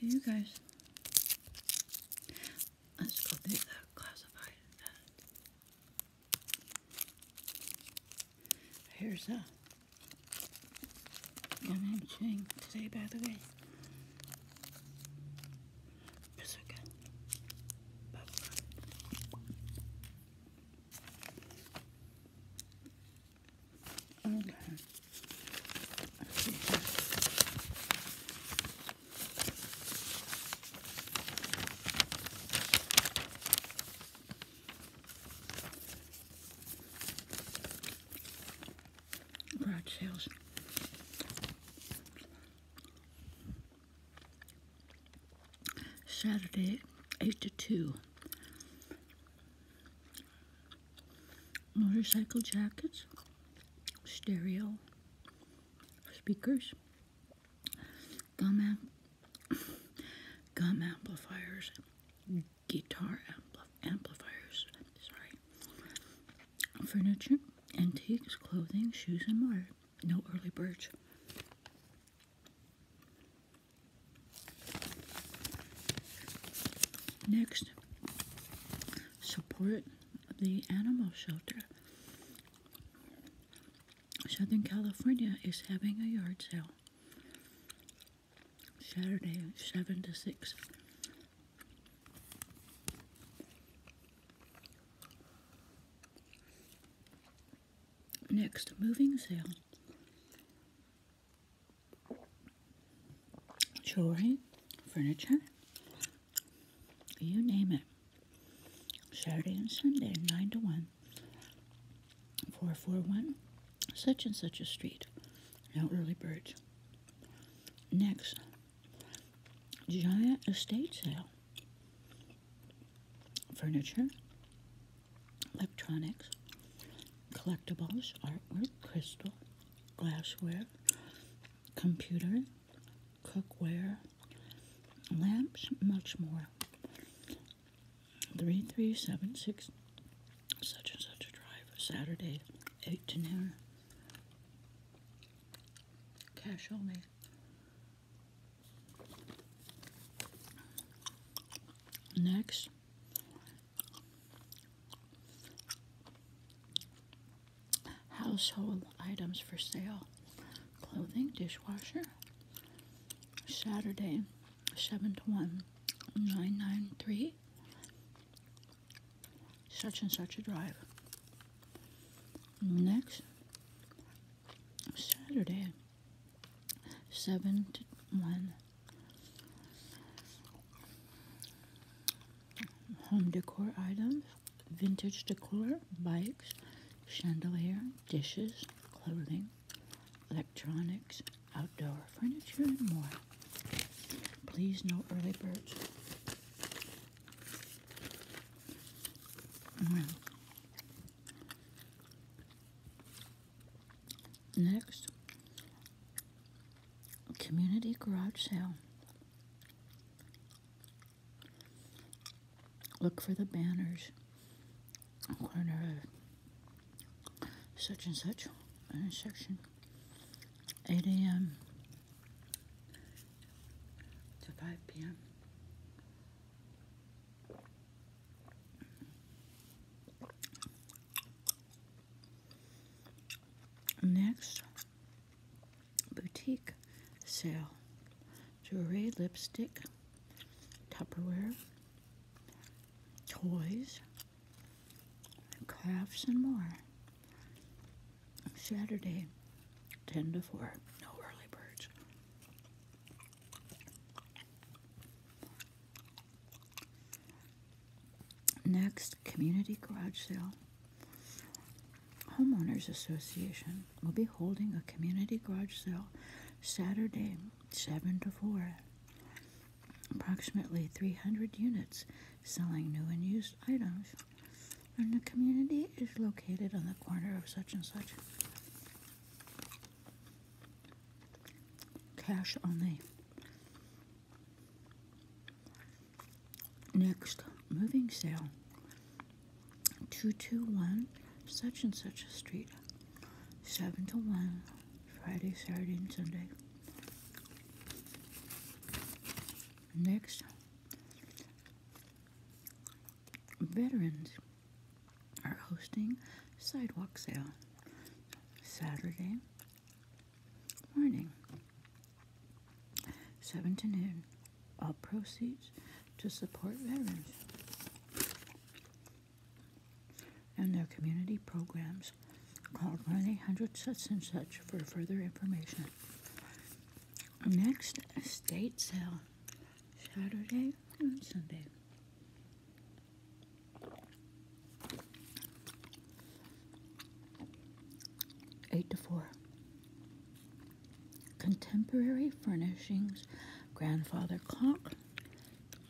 Hey you guys. Let's go do the classified Here's a I'm ching today by the way. Bazooka. Buffalo. Okay. Garage sales. Saturday, 8 to 2 motorcycle jackets, stereo speakers, gum, gum amplifiers, guitar amplifiers, sorry, furniture, antiques, clothing, shoes, and more. No early birds. Next, support the animal shelter. Southern California is having a yard sale Saturday, 7 to 6. Next, moving sale jewelry, furniture, you name it. Saturday and Sunday, 9 to 1, 441, such and such a street. now early birds. Next, giant estate sale. Furniture, electronics, collectibles, artwork, crystal, glassware, computer, cookware, lamps, much more. 3376 such and such a drive, Saturday, 8 to noon. Cash only. Next, household items for sale clothing, dishwasher, Saturday, 7 to 1, 993, such and such a drive. Next, Saturday, 7 to 1. Home decor items, vintage decor, bikes, chandelier, dishes, clothing, electronics, outdoor furniture, and more. Please, no early birds. Mm. Next, community garage sale. Look for the banners corner of such and such intersection. 8 a.m. to 5 p.m. Next, boutique sale jewelry, lipstick, Tupperware, toys, crafts, and more. Saturday, 10 to 4. No early birds. Next, community garage sale. Homeowners Association will be holding a community garage sale Saturday, 7 to 4. Approximately 300 units selling new and used items. And the community is located on the corner of such and such Cash only. Next, moving sale. 221 such and such a street. 7 to 1, Friday, Saturday, and Sunday. Next, veterans are hosting sidewalk sale Saturday morning, 7 to noon. All proceeds to support veterans and their community programs. Call 1 800 such and such for further information. Next, state sale Saturday mm, Sunday. Eight to four. Contemporary furnishings, grandfather clock,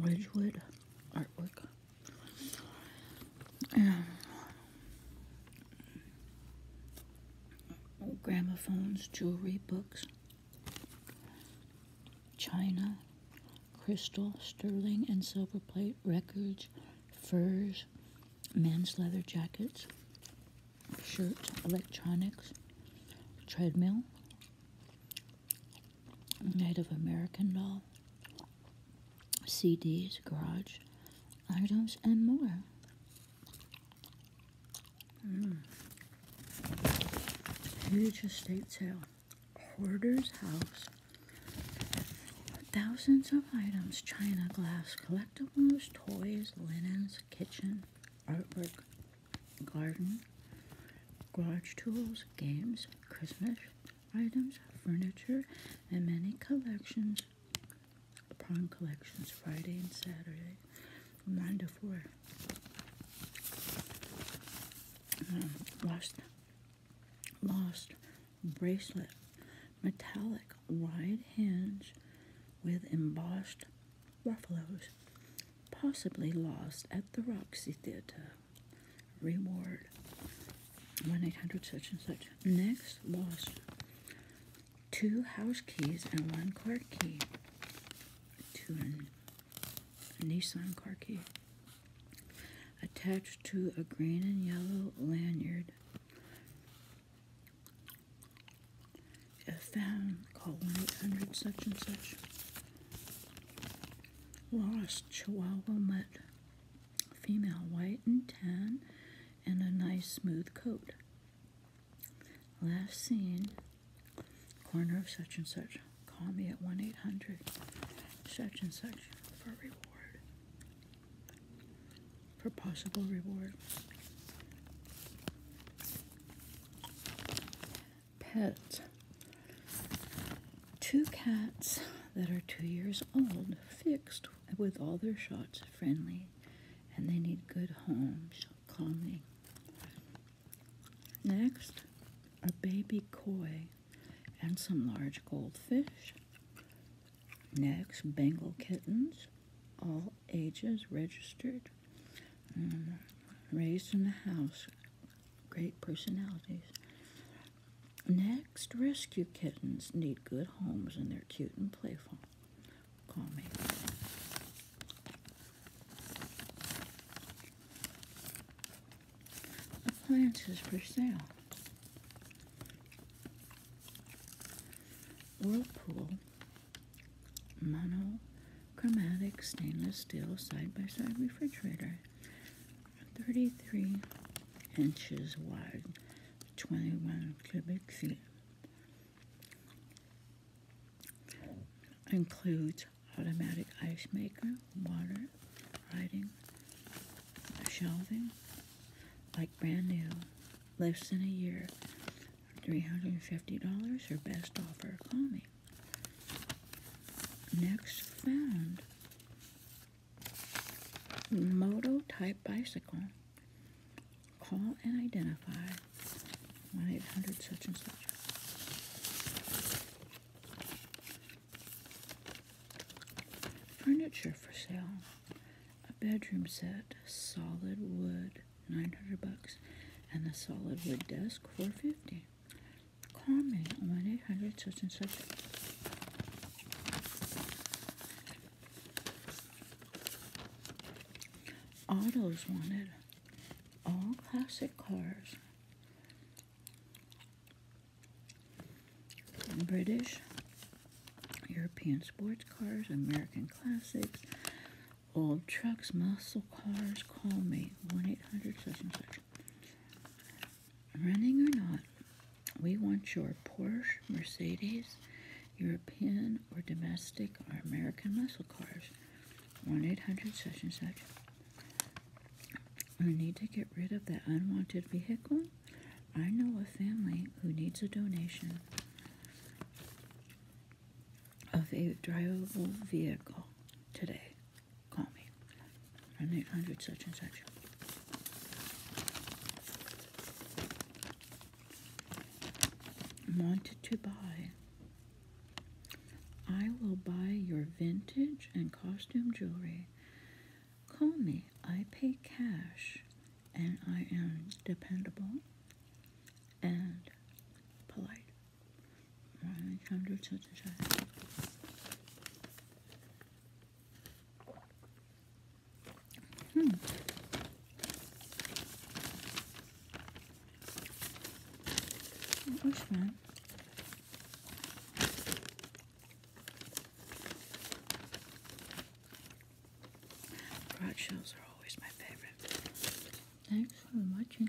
Ridgewood artwork. Um, gramophones, jewelry, books, china, crystal, sterling and silver plate, records, furs, men's leather jackets, shirts, electronics, treadmill, Native American doll, CDs, garage items, and more. Huge mm. estate sale. Hoarder's house. Thousands of items china, glass, collectibles, toys, linens, kitchen, artwork, garden, garage tools, games, Christmas items, furniture, and many collections Prime collections Friday and Saturday from 9 to 4. Um, lost, lost bracelet, metallic wide hinge with embossed ruffaloes, possibly lost at the Roxy Theater. Reward 1 800 such and such. Next, lost two house keys and one car key. Two a Nissan car key. Attached to a green and yellow lanyard. If found, call 1-800 such and such. Lost Chihuahua mutt. Female, white and tan and a nice smooth coat. Last seen, corner of such and such. Call me at 1 800 such and such for reward. For possible reward. Pets. Two cats that are two years old fixed with all their shots friendly and they need good homes, me. Next, a baby koi and some large goldfish. Next, Bengal kittens, all ages registered, mm, raised in the house, great personalities. Next, rescue kittens need good homes and they're cute and playful. Call me. Appliances for sale. Whirlpool monochromatic stainless steel side by side refrigerator. 33 inches wide, 21 cubic feet. Includes automatic ice maker, water, writing, shelving, like brand new, less than a year, $350 or best offer. Call me. Next found moto type bicycle. Call and identify 1 800 such and such. Furniture for sale. A bedroom set, solid wood, 900 bucks, and a solid wood desk, 450. Call me on 1 800 such and such. Autos wanted all classic cars, British, European sports cars, American classics, old trucks, muscle cars. Call me 1 800 such running or not, we want your Porsche, Mercedes, European or domestic or American muscle cars. 1 800 such and such. We need to get rid of that unwanted vehicle. I know a family who needs a donation of a drivable vehicle today. Call me. i 800 such and such. Wanted to buy. I will buy your vintage and costume jewelry. Call me. I pay cash and I am dependable and polite. 100 such and such. Hmm. What that? Garage sales are always my favorite. Thanks for watching.